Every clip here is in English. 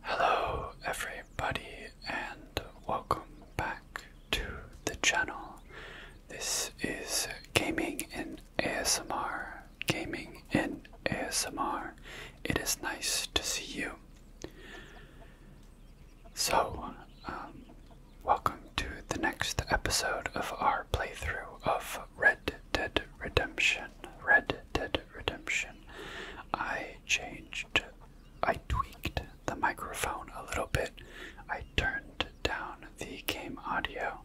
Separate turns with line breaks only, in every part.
Hello, everybody, and welcome back to the channel. This is Gaming in ASMR. Gaming in ASMR. It is nice to see you. So, um, welcome to the next episode of our playthrough of Red Dead Redemption, Red Dead Redemption, I changed, I tweaked the microphone a little bit. I turned down the game audio,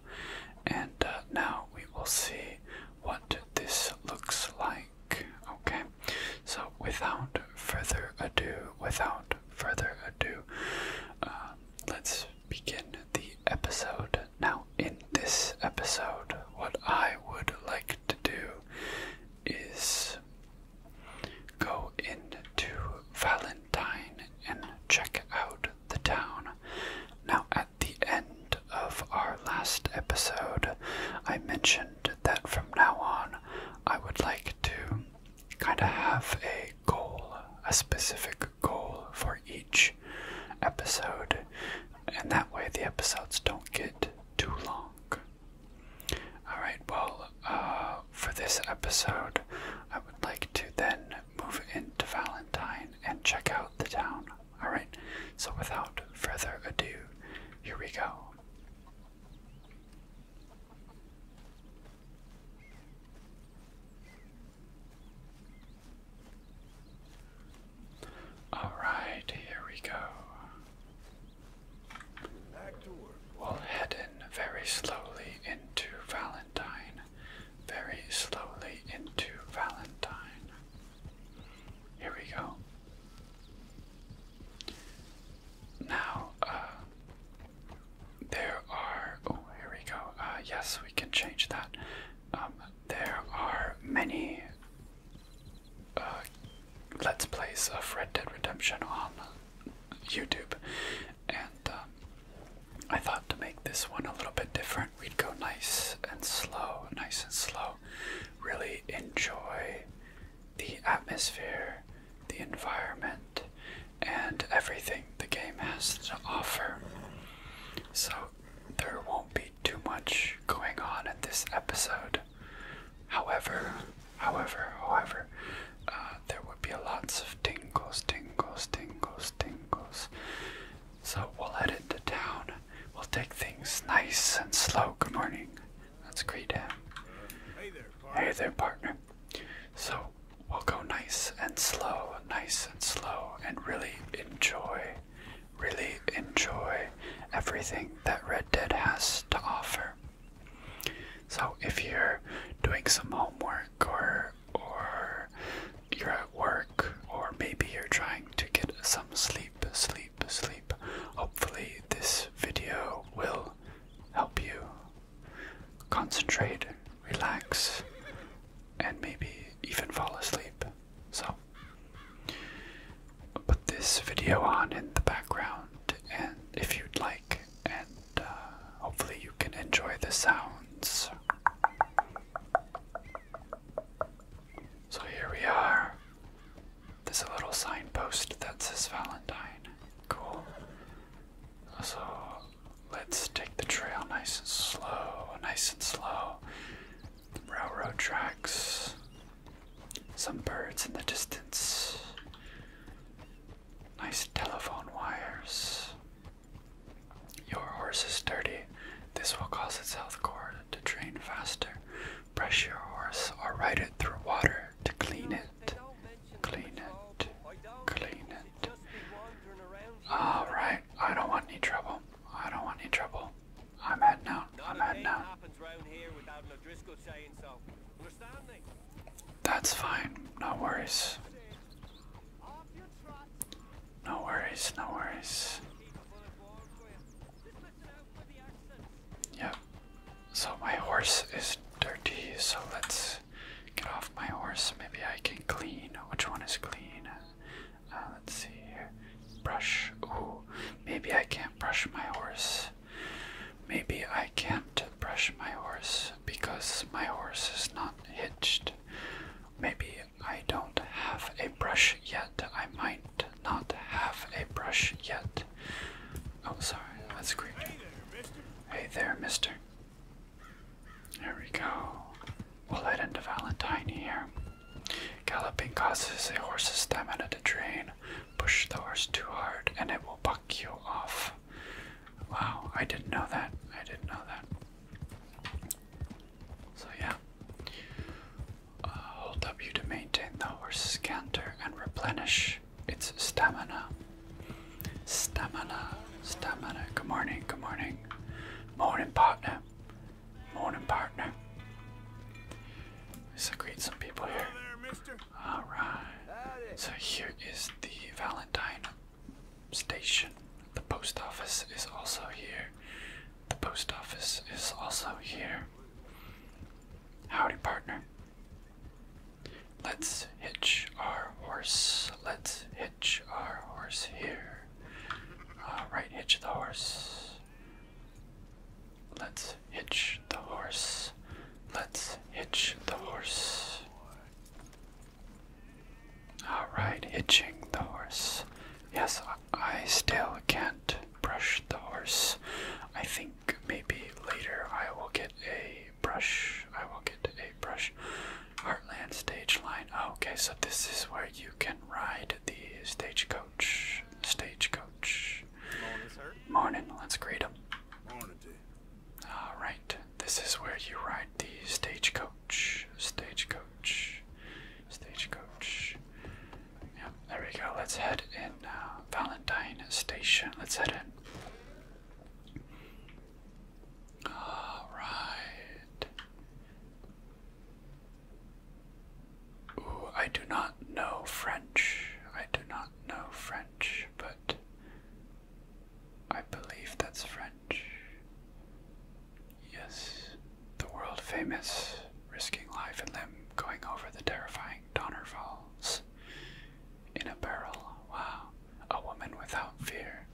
and uh, now we will see what this looks like. Okay, so without further ado, without further ado, uh, let's begin the episode. Now, in this episode, what I would like to do is go into Valentine and check out the town. Now, at the end of our last episode, I mentioned that from now on I would like to kind of have a goal, a specific goal for each episode, and that way the episodes don't get too long. Alright, well, uh, for this episode, I would like to then move into Valentine and check out the town. Alright, so without further ado, here we go. All right, here we go. We'll head in very slowly into Valentine. Very slowly into Valentine. Here we go. Now, uh, there are. Oh, here we go. Uh, yes, we can change that. Um, there are many uh, Let's Plays of Red Dead Redemption on YouTube, and um, I thought to make this one a little bit different, we'd go nice and slow, nice and slow. Really enjoy the atmosphere, the environment, and everything the game has to offer. So there won't be too much going on in this episode. However, however, however, uh, there would be lots of tingles, tingles, tingles, tingles. So we'll head into town. We'll take things nice and slow. Good morning. That's great. Hey there, partner. So we'll go nice and slow, nice and slow, and really enjoy really enjoy everything that Red Dead has to offer. So if you're doing some homework or or you're at work or maybe you're trying to get some sleep, sleep, sleep, hopefully this video will help you concentrate, relax, and maybe even fall asleep. So, put this video on in the background, and if you'd like, and uh, hopefully you can enjoy the sounds. So here we are. There's a little signpost that says Valentine. Cool. So let's take the trail nice and slow, nice and slow railroad tracks, some birds in the distance, nice telephone wires. Your horse is dirty. This will cause its health core to drain faster. Brush your horse or ride it through water to clean it. Clean it. Clean it. Alright, I don't want any trouble. I don't want any trouble. I'm heading out. I'm heading out. That's fine. No worries. No worries. No worries. Yep. So my horse is dirty. So let's get off my horse. Maybe I can clean. Which one is clean? Uh, let's see here. Brush. Ooh, maybe I can't brush my horse. Maybe I can't brush my horse because my horse is not hitched. Maybe I don't have a brush yet. I might not have a brush yet. Oh, sorry, that's creepy. Hey there, mister. There we go. We'll head into Valentine here. Galloping causes a horse's stamina to drain. Push the horse too hard and it will buck you off. Wow, I didn't know that. I didn't know that. So, yeah. Uh, hold W to maintain the horse's canter and replenish its stamina. Stamina, stamina. Good morning, good morning. Morning, partner. Morning, partner. Let's greet some people here. Alright. So here is the Valentine station. The post office is also here. The post office is also here. Howdy, partner. Let's hitch our horse. Let's hitch our horse here here. Uh, All right, hitch the horse. Let's hitch the horse. Let's hitch the horse. All right, hitching the horse. Yes, I still can't brush the horse. I think maybe later I will get a brush. I will get a brush. Heartland stage line. okay, so this is where you can ride the stagecoach. Stagecoach. Morning, let's greet him. Morning. Alright, this is where you ride the stagecoach. Stagecoach. Stagecoach. Yep, there we go. Let's head in uh, Valentine Station. Let's head in. Alright. Ooh, I do not know French. I do not know French, but I believe that's French. Yes, the world famous, risking life and limb, going over the terrifying Donner Falls in a barrel. Wow, a woman without fear.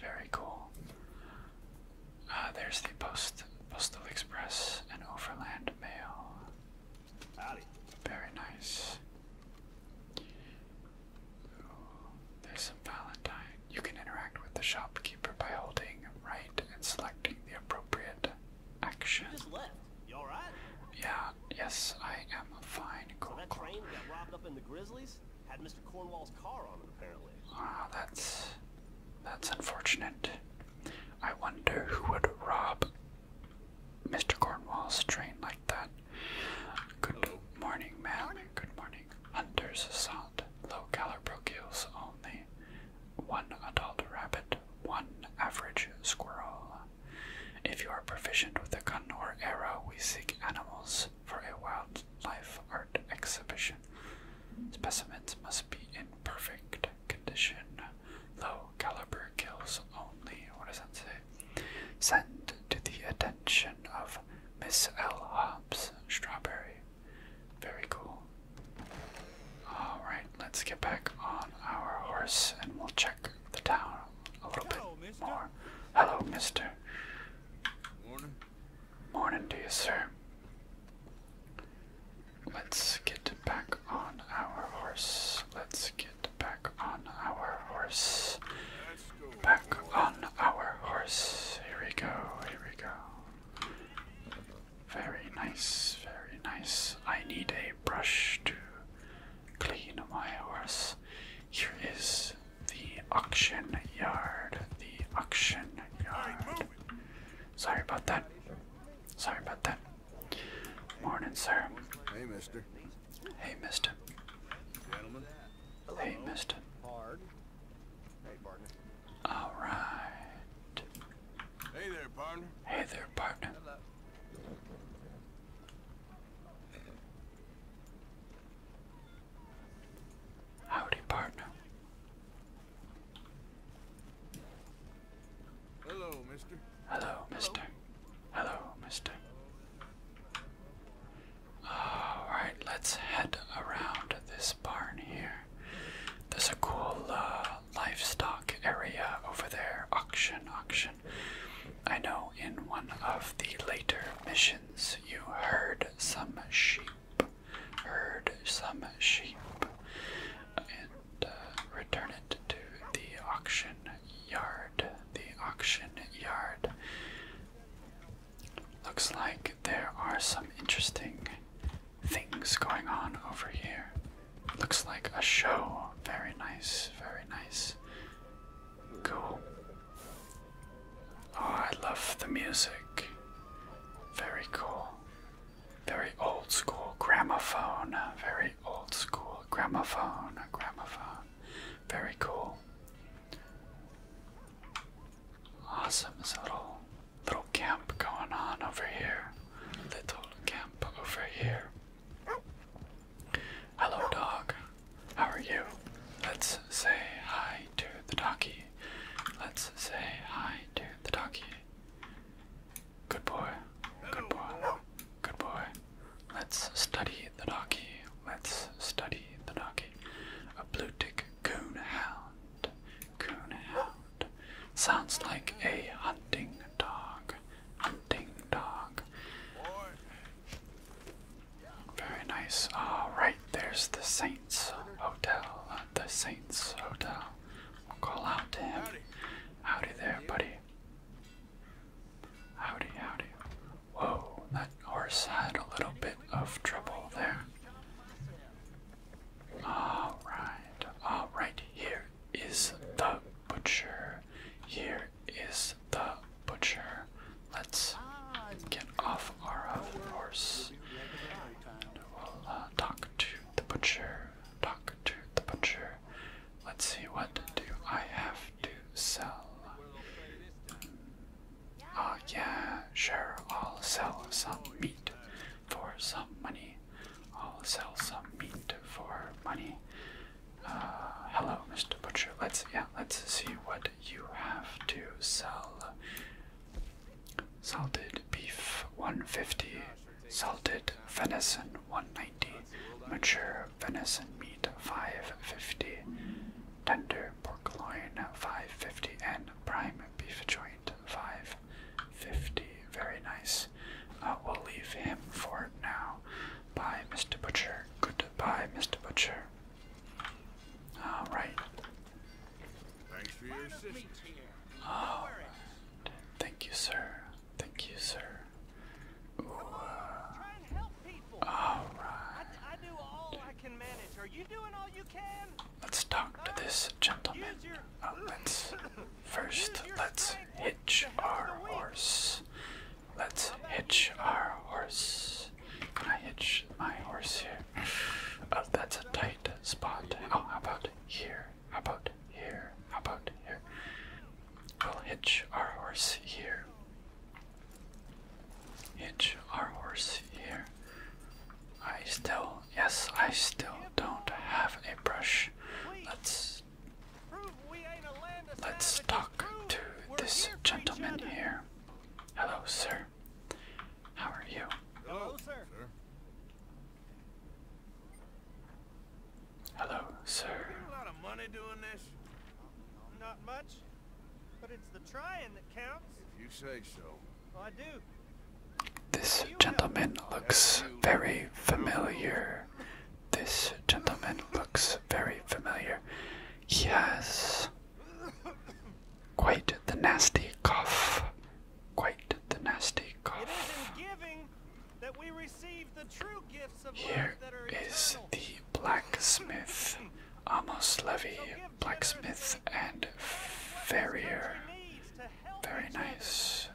Very cool. Ah, there's the post postal express and overland mail. Very nice. there's some Valentine. You can interact with the shopkeeper by holding right and selecting the appropriate action. just left. You all right? Yeah. Yes, I am fine. Cool, that train got robbed up in the Grizzlies. Had Mr. Cornwall's car on it apparently. Ah, that's that's unfortunate. I wonder who would rob Mr. Cornwall's train like that. Good morning, ma'am. Good morning. Hunter's assault. Low caliber kills only. One adult rabbit, one average squirrel. If you are proficient with a gun or arrow, we seek animals for a wildlife art exhibition. Specimens must be in perfect condition. Low caliber kills only. What does that say? Send to the attention of Miss L. Hobbs Strawberry. Very cool. Alright, let's get back on our horse and we'll check the town a little bit more. Hello, mister. Morning. Morning to you, sir. Let's get back on our horse. Let's get back on our horse. Back on our horse. Here we go, here we go. Very nice, very nice. I need a brush to clean my horse. Here is the auction yard. The auction yard. Sorry about that. Sorry about that. Morning, sir. Hey, mister. Hey, mister. Hey, mister. All right. Hey there, partner. Hey there, partner. Howdy, partner. Hello, mister. Hello, mister. Hello, mister. Alright, let's head around this barn here. There's a cool uh, livestock area over there. Auction, auction. I know in one of the later missions you heard some sheep herd some sheep, and uh, return it to the auction yard. The auction yard. Looks like there are some interesting things going on over here. Looks like a show. Very nice, very nice. Cool. Oh, I love the music. Very cool. Very old school gramophone. Very old school gramophone. Gramophone. Very cool. Awesome. little, little camp going on over here. Little camp over here. Hello, dog. How are you? Let's say hi to the doggy. Let's say hi to the donkey. Good boy. Good boy. Good boy. Let's study the donkey. Let's study the donkey. A blue tick coon hound. Coon hound. Sounds like a hunting dog. Hunting dog. Very nice. Alright, ah, there's the Saints Hotel. The Saints Hotel. I'll call out to him. Howdy there, buddy. Howdy, howdy. Whoa, that horse had a little bit of trouble there. Alright, alright, here is the butcher. Here is the butcher. Let's get off our horse. we'll uh, talk to the butcher, talk to the butcher. Let's see, what do I have to sell? Ah, yeah, sure, I'll sell some meat for some money. I'll sell some meat for money. Uh, hello, Mr. Butcher. Let's, yeah, let's see what you have to sell. Salted beef 150, salted venison 190, mature venison meat 550, tender pork loin 550, and prime beef joint 550. Very nice. Uh, we'll leave him for now. Bye, Mr. Butcher. Goodbye, Mr. Butcher. Alright, Thanks for your assistance. Thank you, sir. Thank you, sir. Uh, all right. Let's talk to this gentleman. Uh, let's first let's hitch our horse. Let's hitch our horse. I hitch my horse here? Uh, that's a tight spot. how about here? How about here? How about here? We'll hitch our horse here. Hitch our horse here. I still, yes, I still don't have a brush. Let's let's talk to this gentleman here. Hello, sir. How are you? Hello, sir. Hello, sir. You a lot of money doing this? Not much, but it's the trying that counts. If you say so. Oh, I do. This gentleman looks very familiar. This gentleman looks very familiar. He has quite the nasty cough quite the nasty cough. Here is the blacksmith, Amos Levy, blacksmith and farrier. Very nice.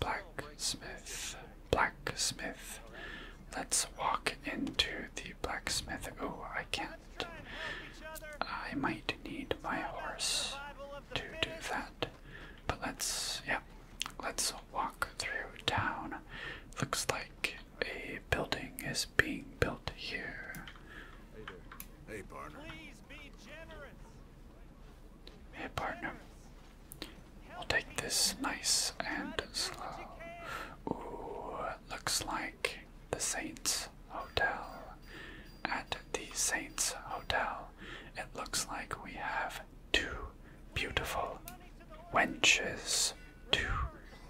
blacksmith, blacksmith. Let's walk into the blacksmith. Oh, I can't. I might need my horse to do that. But let's, yeah, let's walk through town. Looks like a building is being built here. Hey, there. hey partner. Please be generous. Hey, partner. We'll take this nice and slow. Ooh, looks like the Saints Hotel at the Saints Hotel, it looks like we have two beautiful wenches. Two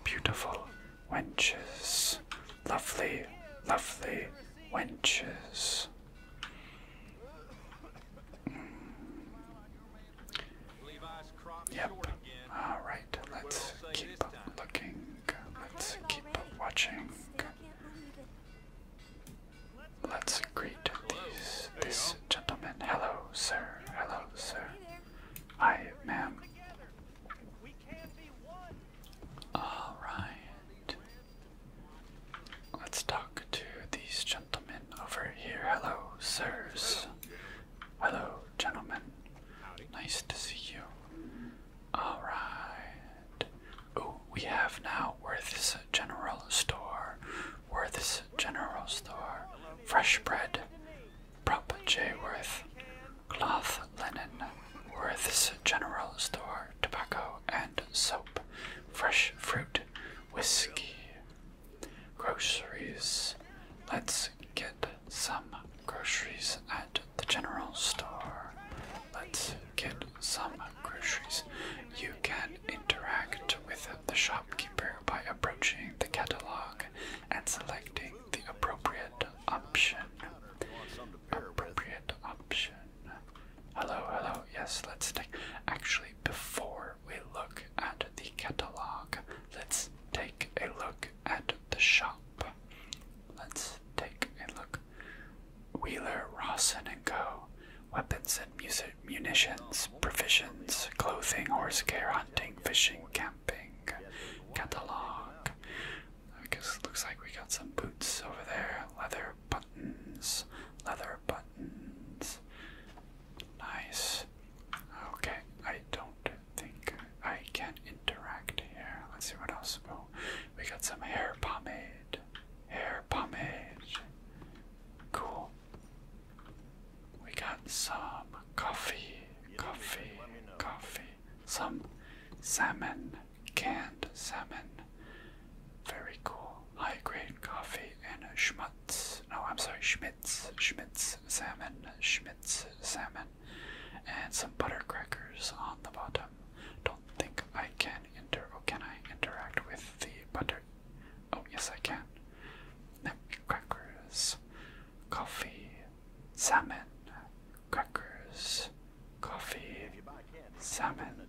beautiful wenches. Lovely, lovely wenches. Mm. Yep. Alright, let's keep looking. Let's keep watching. Let's greet these, gentlemen. Hello, sir. Hello, sir. Hi, ma'am. All right. Let's talk to these gentlemen over here. Hello, sirs. Hello, gentlemen. Nice to see you. Alright. Oh, we have now Worth's General Store. Worth's General Store. Fresh bread. Prop J. Worth. Cloth linen. Worth's General Store. Tobacco and soap. Fresh fruit. Whiskey. Groceries. Let's get some groceries at the general store. Let's get some groceries. You can interact with the shopkeeper by approaching the catalog and selecting the appropriate option. Appropriate option. Hello, hello. Yes, let's take. Actually, before we look at the catalog, let's take a look at the shop. Let's take a look. Wheeler, Rawson and Co. Weapons and munitions, provisions, clothing, horse care, hunting, fishing, camping, catalog. I guess it looks like we got some boots over there. Leather buttons, leather buttons. Nice. Okay, I don't think I can interact here. Let's see what else. Oh, we got some hair pomade hair pomade. Cool. We got some coffee, coffee, coffee, some salmon, canned salmon. Very cool. High grade coffee and schmutz. No, I'm sorry, schmitz, schmitz salmon, schmitz salmon, and some butter crackers on the bottom think I can inter. Oh, can I interact with the butter? Oh, yes, I can. Crackers, coffee, salmon, crackers, coffee, salmon.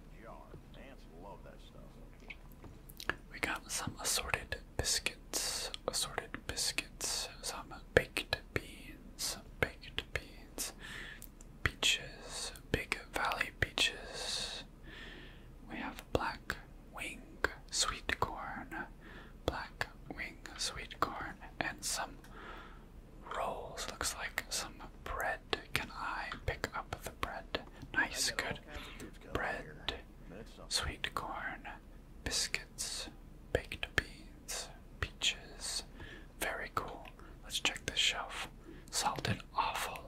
We got some assorted biscuits, assorted biscuits, some baked beans, baked beans wines, peaches, big valley peaches. We have black wing sweet corn, black wing sweet corn, and some rolls. Looks like some bread. Can I pick up the bread? Nice, good. Bread, sweet corn, biscuits, baked beans, peaches. Very cool. Let's check the shelf. Salted awful.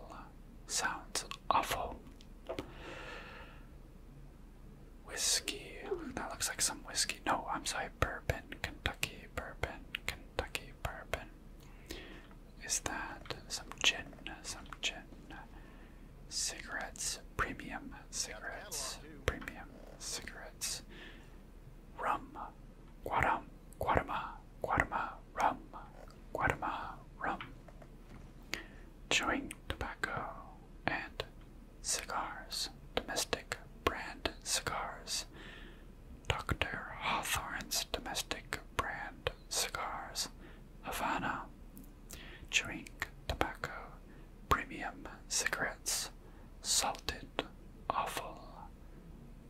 Sounds awful. Whiskey. That looks like some whiskey. No, I'm sorry. Bourbon. Kentucky bourbon. Kentucky bourbon. Is that some gin? Some gin. Cigarettes. Premium cigarettes. Premium cigarettes. Rum. Guarum. Guatemala, Guatemala rum, Guatemala rum. Chewing tobacco and cigars, domestic brand cigars. Dr. Hawthorne's domestic brand cigars, Havana. Chewing tobacco, premium cigarettes, salted awful.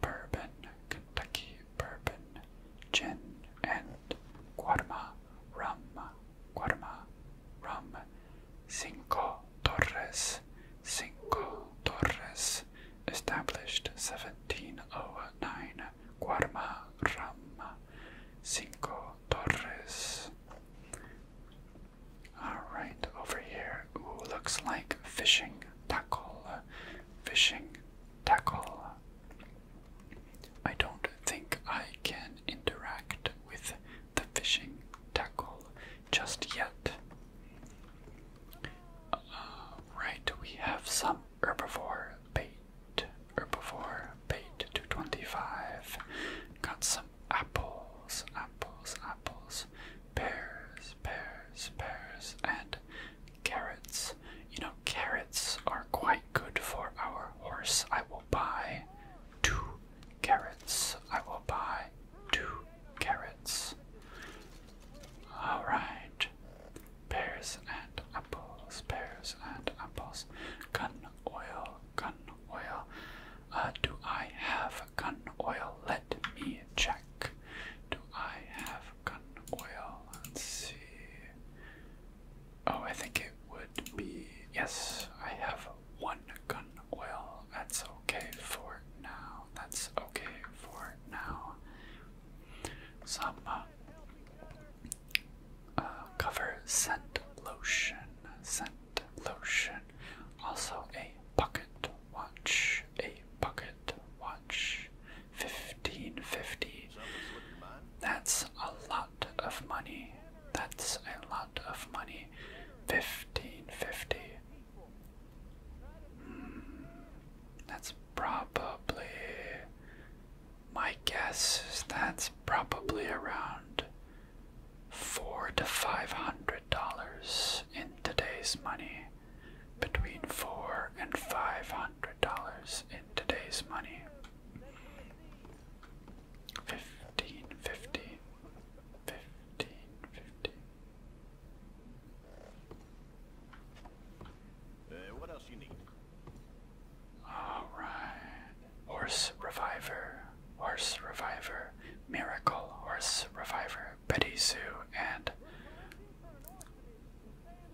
Bourbon, Kentucky bourbon, gin, and Guarma rum, Guarma rum, Cinco Torres, Cinco Torres, established 1709, Guarma rum, Cinco Torres. Alright, over here, looks like fishing tackle, uh, fishing tackle. I don't think I can interact with the fishing tackle just yet. Uh, right, we have some herbivore bait. Herbivore bait 225. Got some apples, apples, apples pears, pears, pears, and carrots. You know, carrots are quite good for our horse. I will buy two carrots. I will buy two carrots. Alright. Pears and apples, pears and apples. Gun oil, gun oil. Uh, do I have gun oil? Let me check. Do I have African oil. let see. Oh, I think it would be. Yes, I have one gun oil. That's okay for now. That's okay for now. Some uh, uh, cover scent lotion. Scent lotion. Also, a bucket watch. A bucket watch. 1550. That's a lot of money. That's a lot of money. 1550. Hmm. that's probably. My guess is that's probably around four to five hundred dollars in today's money, between four and five hundred dollars in today's money. Fifteen fifty. Uh, what else you need? All right. Horse reviver. Horse reviver. Miracle horse reviver. Betty Sue and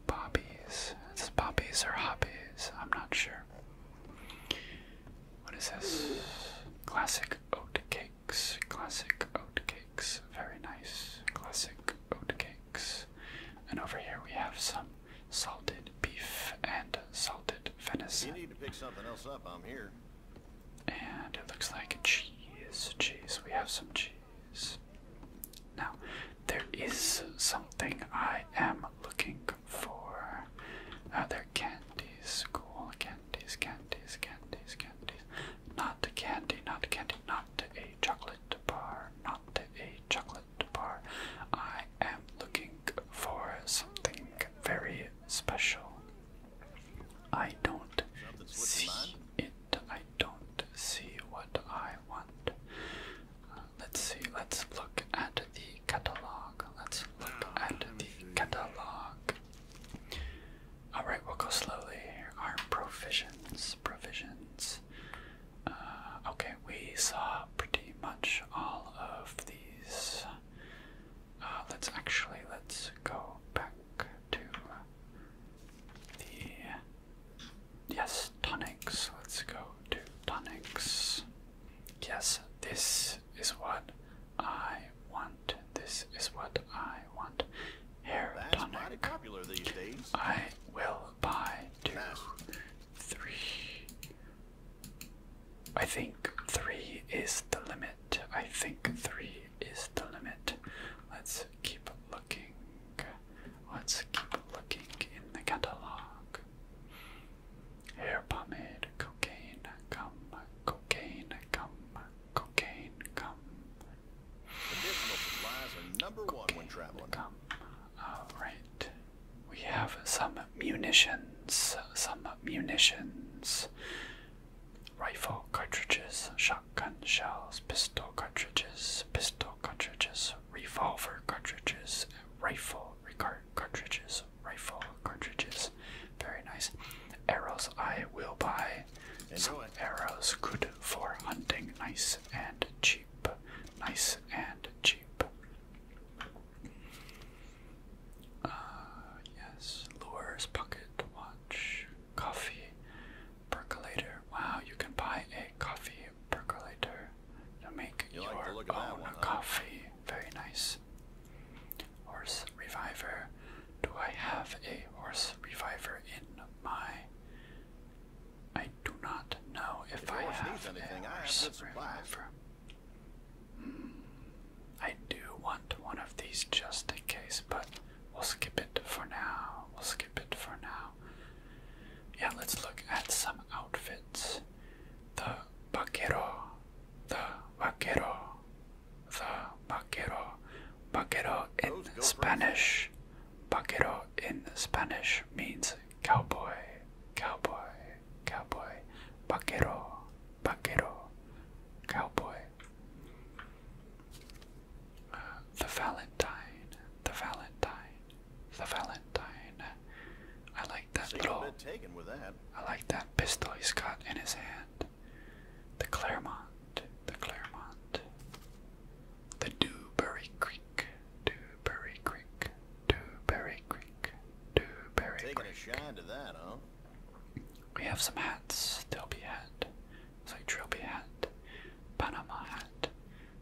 Bobbies. It's bobbies or hobbies. I'm not sure. What is this? Classic oat cakes. Classic oat cakes. Very nice. Classic oat cakes. And over here we have some salted beef and salted venison. You need to pick something else up. I'm here. And it looks like cheese. Cheese. We have some cheese. Now, there is something I am looking for. Other candies? Cool candies, candies, candies, candies. Not candy, not a candy, not a chocolate bar, not a chocolate bar. I am looking for something very special. I don't see it don't see what I want. Uh, let's see, let's look at the catalog. Let's look ah, at the catalog. Alright, we'll go slowly Our provisions, provisions. Uh, okay, we saw pretty much all of these. Uh, let's actually, let's go back to the yes tonics. Let's go to tonics. Yes, this is what I want. This is what I want. here. That's tonic. Popular these days. I will buy two, three. I think three is the limit. I think three is the limit. Let's keep looking. Let's keep looking in the catalog. Hair pomade, cocaine, gum, cocaine, gum, cocaine, gum. Additional supplies are number one when traveling. Gum. All right. We have some munitions, some munitions, rifle cartridges, shotgun. Gun shells, pistol cartridges, pistol cartridges, revolver cartridges, rifle cartridges, rifle cartridges. Very nice. Arrows I will buy. Some arrows good for hunting, nice and cheap. Nice and cheap. Uh, yes, lures, pocket watch, coffee, percolator. Wow, you can buy a coffee percolator to make your own one, coffee. Very nice. Horse reviver. Do I have a horse reviver in my? I do not know if, I have anything, a horse I have reviver. Mm, I do want one of these just in case, but We'll skip it for now. We'll skip it for now. Yeah, let's look at some outfits. The vaquero, the vaquero, the vaquero. Vaquero in Spanish. Vaquero in Spanish means cowboy, cowboy, cowboy. Vaquero, vaquero, cowboy. Uh, the Valentine, the Valentine, the Valentine. I like that little. Taken with that. I like that pistol he's got in his hand. The Claremont, the Claremont, the Dewberry Creek, Dewberry Creek, Dewberry Creek, Dewberry Taking Creek. Taking a shine to that, huh? We have some hats. There'll be hat. It's like hat, Panama hat,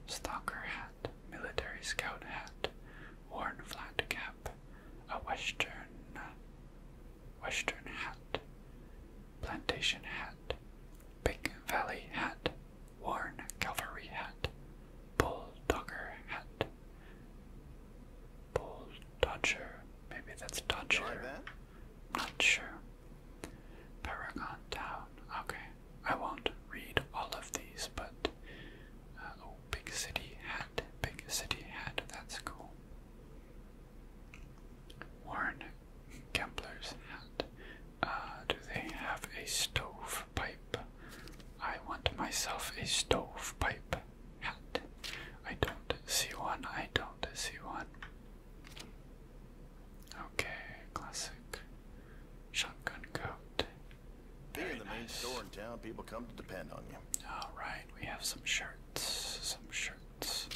stalker hat, military scout hat, worn flat cap, a western western hat, plantation hat, big valley hat, worn cavalry hat, bulldogger hat, bull maybe that's dodger. Not sure. Paragon Town. Okay. I won't read all of these, but. Uh, oh, Big City Hat. Big City Hat. That's cool. Warren Kempler's Hat. Uh, do they have a stove I want myself a stovepipe hat. I don't see one. I don't see one. Okay, classic shotgun coat. Being the main store in town, people come to depend on you. All right, we have some shirts, some shirts,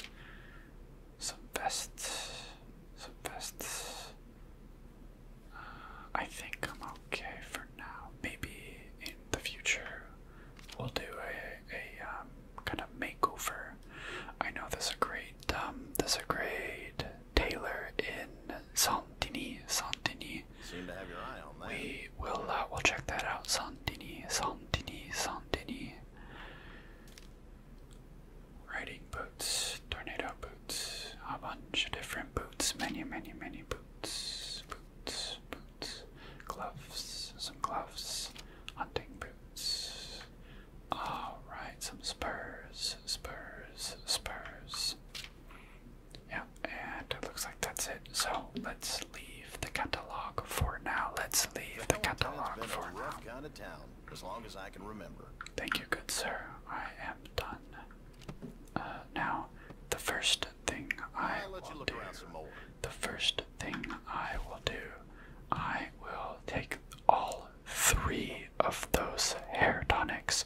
some vests, some vests. Uh, I think I'm okay for now. Maybe in the future we'll do a a um, kind of makeover I know there's a great um, there's a great Taylor in Santini, Santini. We will uh, we'll check that out. Santini, Santini, Santini. Riding boots, tornado boots, a bunch of different boots, many, many, many boots, boots, boots, gloves, some gloves, hunting boots, all right, some spurs, spurs, spurs. Yeah, and it looks like that's it. So let's leave the catalog for now. Let's leave the catalog for now. Kind of town, as long as I can remember. Thank you, good sir. I am done. Uh, now, the first thing I will do. The first thing I will do. I will take all three of those hair tonics.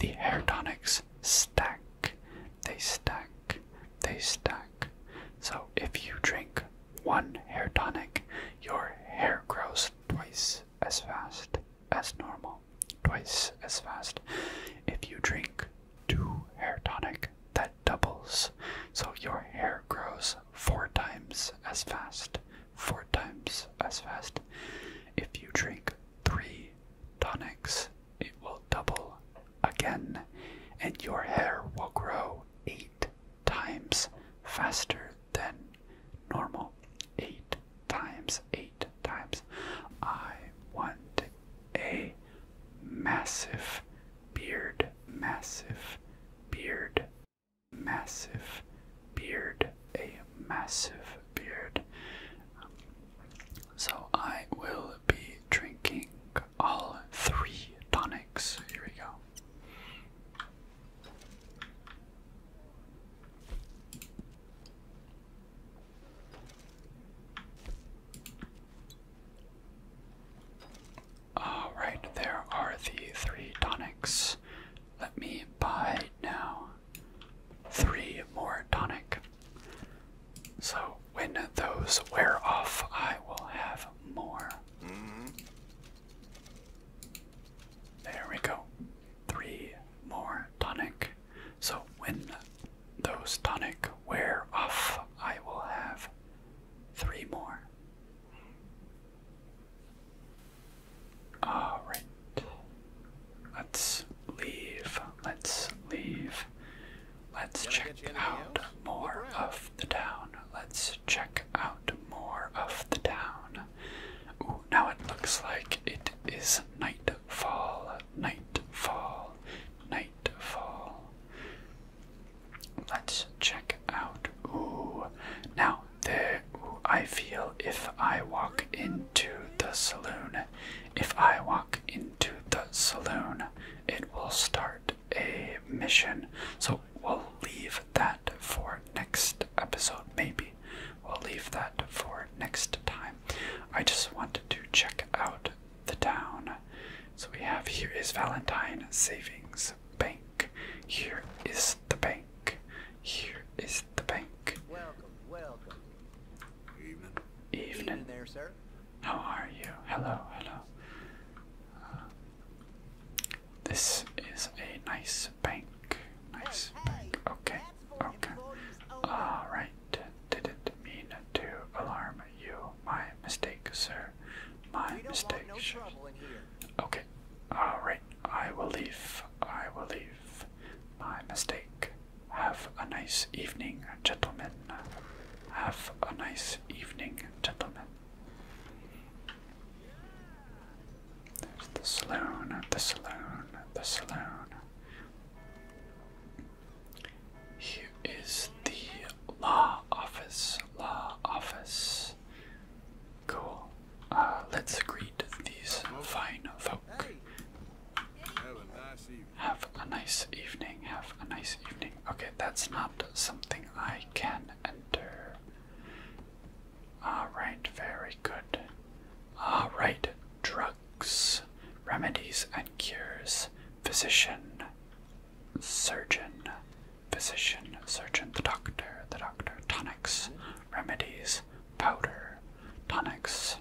The hair tonics stack, they stack, they stack. So if you drink one hair tonic, your hair grows twice as fast as normal. Twice as fast. If you drink two hair tonic, that doubles. So your hair grows four times as fast four times as fast. If you drink three tonics, it will double again, and your hair will grow eight times faster than normal. Eight times, eight times. I want a massive beard, massive beard, massive beard, a massive beard. so I will be drinking all three tonics. Here we go. All right, there are the three tonics. Let me buy now three more tonic. So when those wear off, I will have more. Mm-hmm. There we go. Three more tonic. So when those tonic wear off, I will have three more. All right. Let's leave. Let's leave. Let's check out more of the town. Let's check out more of the town. Ooh, now it looks like it is nightfall. Nightfall. Nightfall. Let's check out. Ooh. Now there I feel if I walk into the saloon. If I walk into the saloon, it will start a mission. So we'll leave that for next episode, maybe. We'll leave that for next time. I just wanted to check out the town. So we have here is Valentine Savings Bank. Here is the bank. Here is the bank. Welcome, welcome. Evening. Evening. there, sir. How are you? Hello, hello. Uh, this is a nice bank. Nice bank. Hey, okay, okay. Alright. Did it mean to alarm you? My mistake, sir. My mistake. Okay, alright, I will leave. I will leave. My mistake. Have a nice evening, gentlemen. Have a nice evening, gentlemen. There's the saloon, the saloon, the saloon. Here is the law office, law office. Cool. Uh, let's greet these fine folk. Have a nice evening. Have a nice evening. Okay, that's not something I can enter. Alright, very good. Alright, drugs, remedies and cures, physician, surgeon, physician, surgeon, the doctor, the doctor, tonics, remedies, powder, tonics,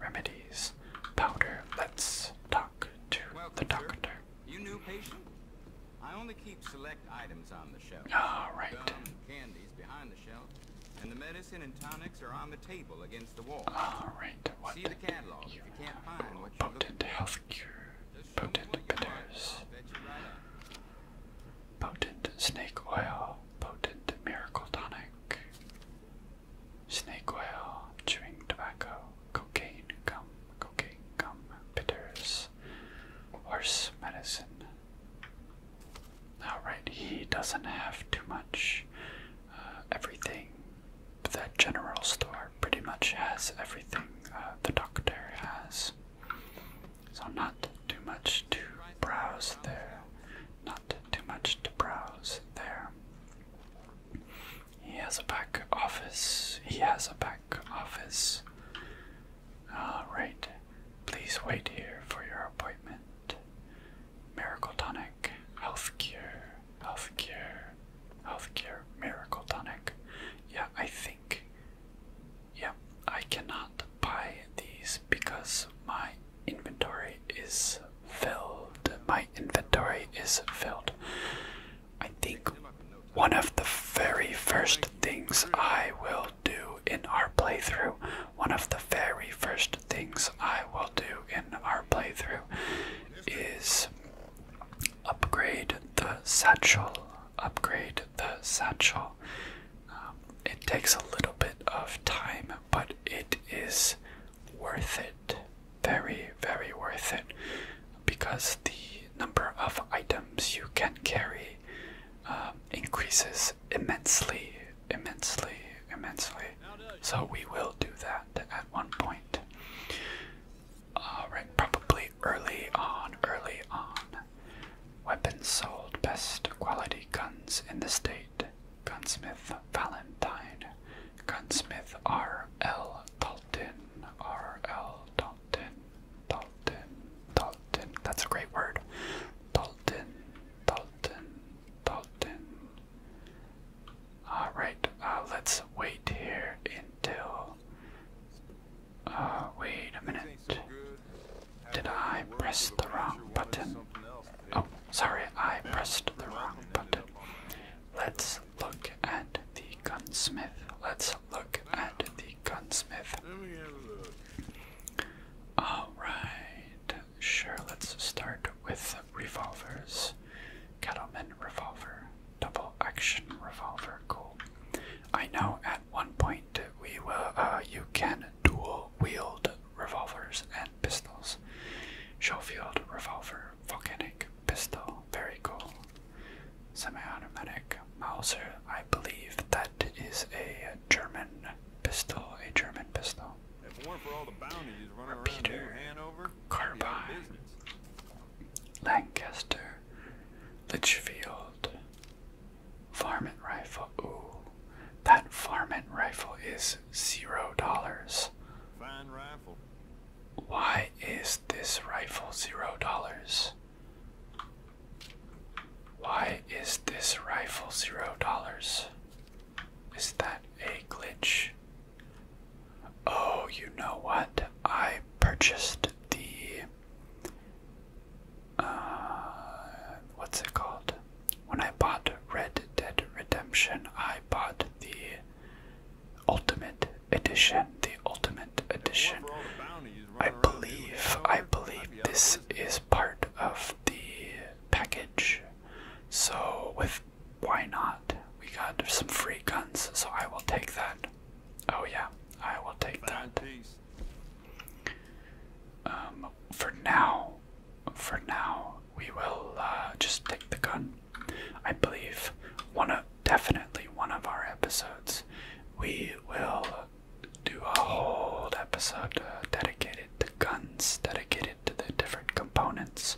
remedies, powder. Let's talk to the doctor. I only keep select items on the shelf. All right. Gum, candies behind the shelf, and the medicine and tonics are on the table against the wall. All right. What See the catalog if you can't find what you're looking for. Potent health cure. Potent bitters. Potent snake oil, potent miracle tonic, snake oil, chewing tobacco, cocaine gum, cocaine gum, bitters, horse medicine. Alright, he doesn't have too much. Uh, everything, the general store pretty much has everything uh, the doctor has. So not too much to browse there. Not too much to browse there. He has a back office. He has a back office. Alright. Please wait here for your appointment. Miracle Tonic. Health cure. Health Miracle Tonic. Yeah, I think yeah, I cannot buy these because my inventory is filled. My inventory is filled. I think one of the very first things I will do in our playthrough, one of the very first things I will do in our playthrough is upgrade the satchel. Upgrade the satchel. Um, it takes a little bit of time, but it is worth it. Very, very worth it. Because the number of items you can carry um, increases immensely, immensely, immensely. So we will do that at one point. probably early on, early on. Weapons sold best quality guns in the state. Gunsmith Valentine. Gunsmith R. L. Dalton. R. L. Dalton. Dalton. Dalton. That's a great word. Dalton. Dalton. Dalton. Alright, uh, let's wait here until. Uh, wait a minute. Did I press the wrong button? Oh, sorry, I pressed the wrong button. Let's look at the gunsmith. Let's look at the gunsmith. Alright, sure, let's start with revolvers. Kettleman revolver, double action revolver, cool. I know one point, we will, uh, you can dual wield revolvers and pistols. Showfield revolver, volcanic pistol, very cool. Semi-automatic Mauser. I believe that is a German pistol, a German pistol. Repeater, Carbine, Lancaster, Litchfield, Varmint rifle. Ooh. That varmint rifle is zero dollars. Why is this rifle zero dollars? Why is this rifle zero dollars? Is that a glitch? Oh, you know what? I purchased the uh, what's it called? When I bought Red Dead Redemption, I bought the Ultimate Edition. The Ultimate Edition. I believe, I believe this is part of the package. So, with why not? We got some free guns, so I will take that. Oh, yeah, I will take that. Um, for now, for now, we will uh, just take the gun. I believe one of definitely one of our episodes, we will do a whole episode uh, dedicated to guns, dedicated to the different components,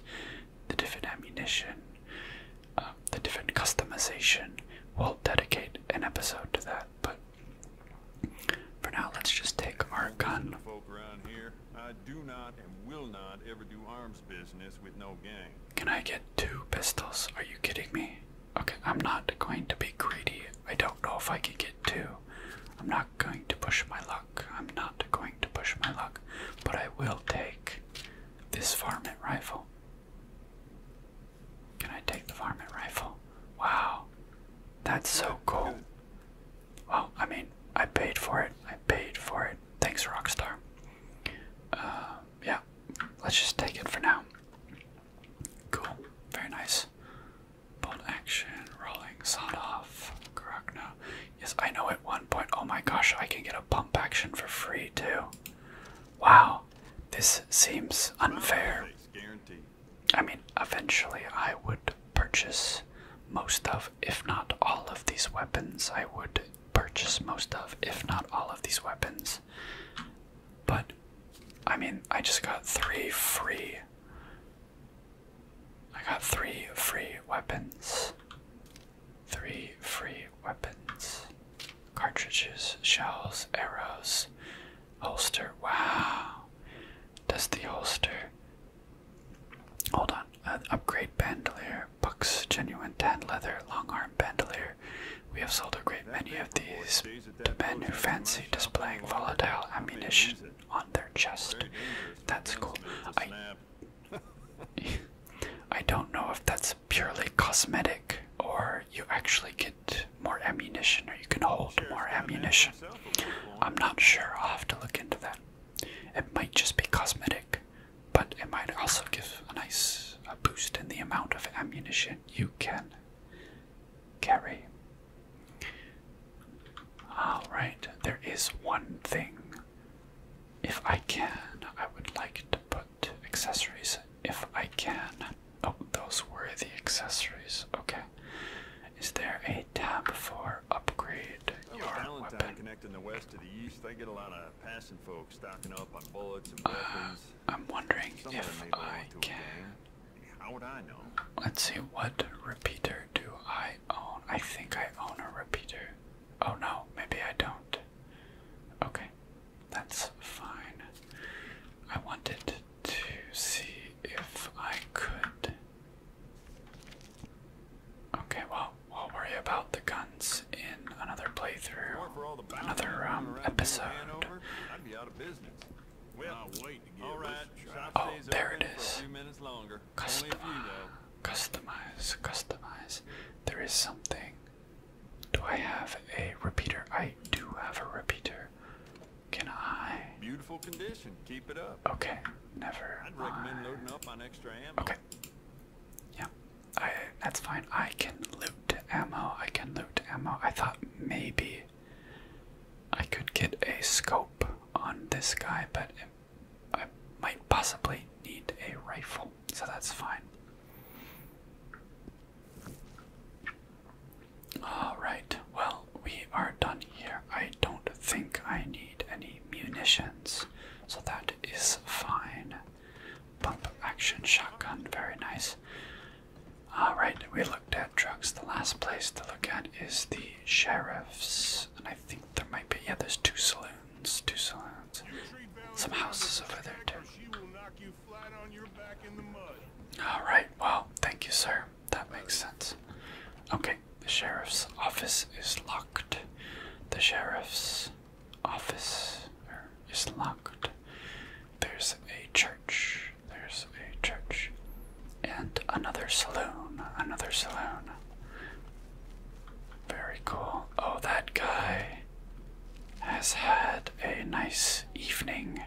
the different ammunition, uh, the different customization. We'll dedicate an episode to that, but for now, let's just take our gun. Can I get two pistols? Are you kidding me? Okay, I'm not going to be greedy. I don't know if I can get two. I'm not going to push my luck. I'm not going to push my luck, but I will take this varmint rifle. Can I take the varmint rifle? Wow. That's so cool. Well, I mean, I paid for it. I paid for it. Thanks, Rockstar. Uh, yeah, let's just take it for now. Cool. Very nice. Bolt action, rolling, sawed off, now. Yes, I know at one point, oh my gosh, I can get a pump action for free too. Wow, this seems unfair. I mean, eventually I would purchase most of, if not all of these weapons. I would purchase most of, if not all of these weapons. But, I mean, I just got three free. I got three free weapons. Three free weapons. Cartridges, shells, arrows, Holster. Wow. Does the holster. Hold on. Uh, upgrade bandolier. Bucks. Genuine tan leather. Long arm bandolier. We have sold a great many of these to men who fancy displaying volatile ammunition on their chest. That's cool. I, I don't know if that's purely cosmetic or you actually get more ammunition or you can hold more ammunition. I'm not sure, I'll have to look into that. It might just be cosmetic, but it might also give a nice a boost in the amount of ammunition you can carry. Alright, there is one thing. If I can, I would like to put accessories. If I can. Oh, those were the accessories. Okay. Is there a tab for upgrade your well, connecting the west to the east, they get a lot of passing folks stocking up on bullets and uh, weapons. I'm wondering if I can. How would I know? Let's see, what repeater do I own? I think I own a repeater. Oh no, maybe I don't. Okay, that's fine. I want it to see if I could. Okay, well, we'll worry about the guns in another playthrough, another um, episode. Oh, there it is. Customize, customize, customize. There is something. Do I have a repeater? I do have a repeater. Can I? Beautiful condition. Keep it up. Okay. Never. I'd recommend loading up on extra ammo. Okay. Yeah. I that's fine. I can loot ammo. I can loot ammo. I thought maybe I could get a scope on this guy, but I might possibly need a rifle. So that's fine. Alright, well, we are done here. I don't think I need any munitions, so that is fine. Pump action shotgun, very nice. Alright, we looked at drugs. The last place to look at is the sheriff's, and I think there might be, yeah, there's two saloons, two saloons, some houses over there too. Alright, well, thank you, sir that makes sense. Okay, the sheriff's office is locked. The sheriff's office is locked. There's a church. There's a church. And another saloon. Another saloon. Very cool. Oh, that guy has had a nice evening.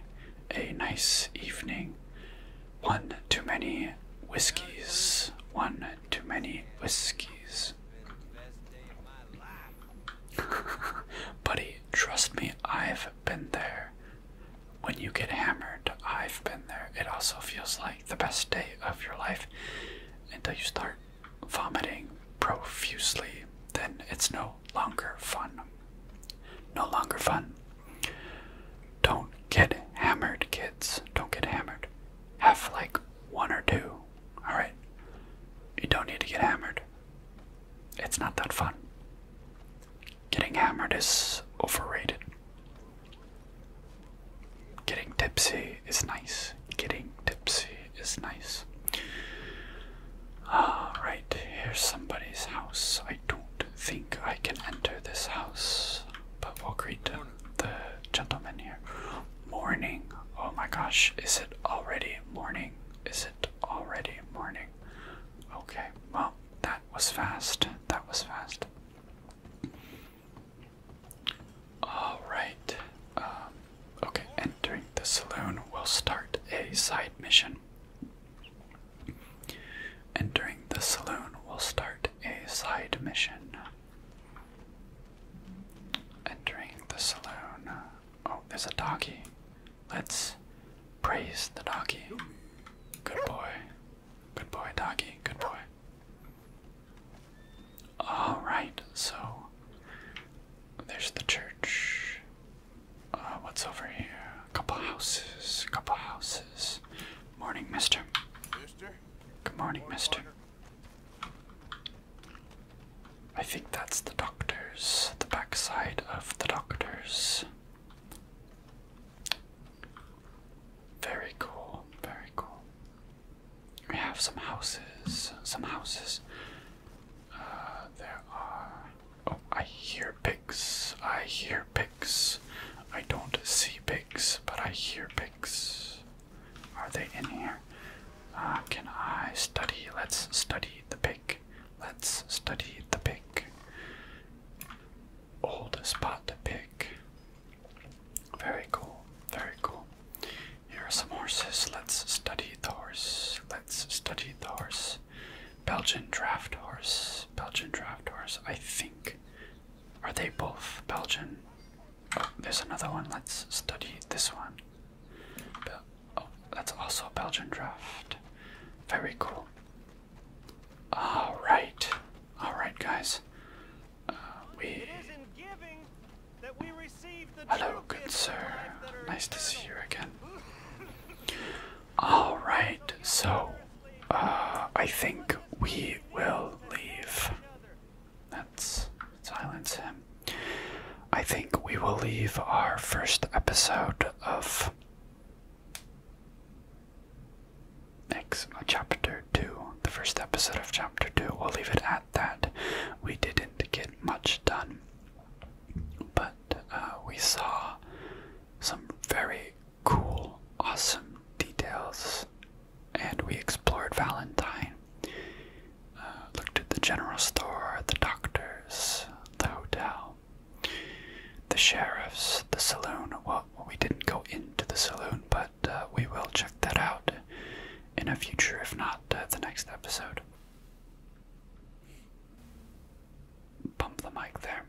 A nice evening. One too many whiskeys. One too many whiskeys. Buddy, trust me, I've been there. When you get hammered, I've been there. It also feels like the best day of your life until you start vomiting profusely. Then it's no longer fun. No longer fun. Don't get hammered, kids. Don't get hammered. Have like one or two. Alright? You don't need to get hammered. It's not that fun. Getting hammered is overrated. Getting tipsy is nice. Getting tipsy is nice. Alright, here's somebody's house. I don't think I can enter this house, but we greet the gentleman here. Morning. Oh my gosh, is it already morning? Is it already morning? Okay, well, that was fast. That was fast. Alright. Um, okay, entering the saloon, will start a side mission. Entering the saloon will start a side mission. Entering the saloon. Oh, there's a doggy. Let's praise the doggy. Good boy. Good boy, doggy. Good boy. Alright, so there's the church. Uh, what's over here? A couple houses. A couple houses. Morning, mister. Good morning, mister. I think that's the doctor's, the backside of the doctor's. Very cool, very cool. We have some houses, some houses. Uh, there are. Oh, I hear pigs. I hear pigs. I don't see pigs, but I hear pigs. Are they in here? Uh, can I study? Let's study the pig. Let's study the pig. Old spot pig. Very cool. Very cool. Here are some horses. Let's study the horse. Let's study the horse. Belgian draft horse. Belgian draft horse. I think are they both Belgian? there's another one. Let's study this one. oh, that's also a Belgian draft. Very cool. All right, all right, guys. Uh, we. Hello, good sir. Nice to see you again. All right, so uh, I think we will leave. let silence him. I think we will leave our first episode of next uh, chapter two. The first episode of chapter two. We'll leave it at that. We didn't get much done, but uh, we saw some very cool, awesome details. And we explored Valentine, uh, looked at the general store, the doctors, the hotel, the sheriff's, the saloon. Well, we didn't go into the saloon, but uh, we will check that out in a future, if not uh, the next episode. Bump the mic there.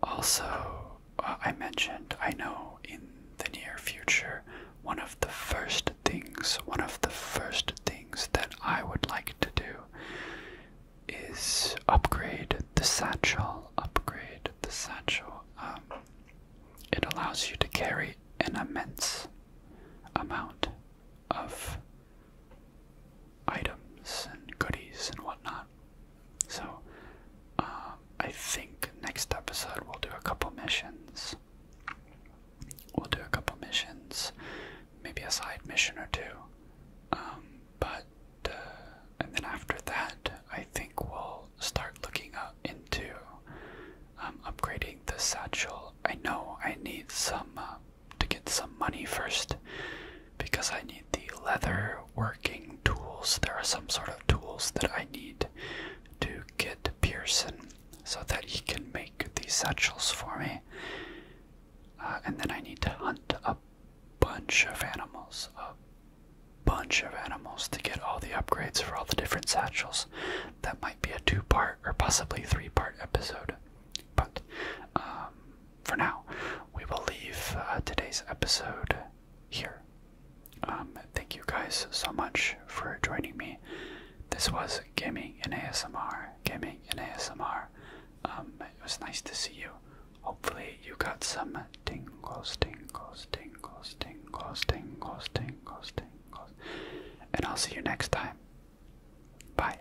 Also, uh, I mentioned, I know in the near future, one of the first things, one of the first things that I would like to do is upgrade the satchel. Upgrade the satchel. Um, it allows you to carry an immense amount of items and goodies and whatnot. So, uh, I think next episode we'll do a couple missions. We'll do a couple missions, maybe a side mission or two. Um, but, uh, and then after that, I think we'll start looking up into um, upgrading the satchel. I know I need some uh, to get some money first because I need the leather working tools. There are some sort of tools that I need to get Pearson so that he can make these satchels for me. Uh, and then I need to hunt a bunch of animals, a bunch of animals to get all the upgrades for all the different satchels. That might be a two part or possibly three part episode. But um, for now, we will leave uh, today's episode here. Um, thank you guys so much for joining me. This was Gaming in ASMR. Gaming in ASMR. Um, it was nice to see you. Hopefully, you got some tingles, tingles, tingles, tingles, tingles, tingles, tingles. And I'll see you next time. Bye.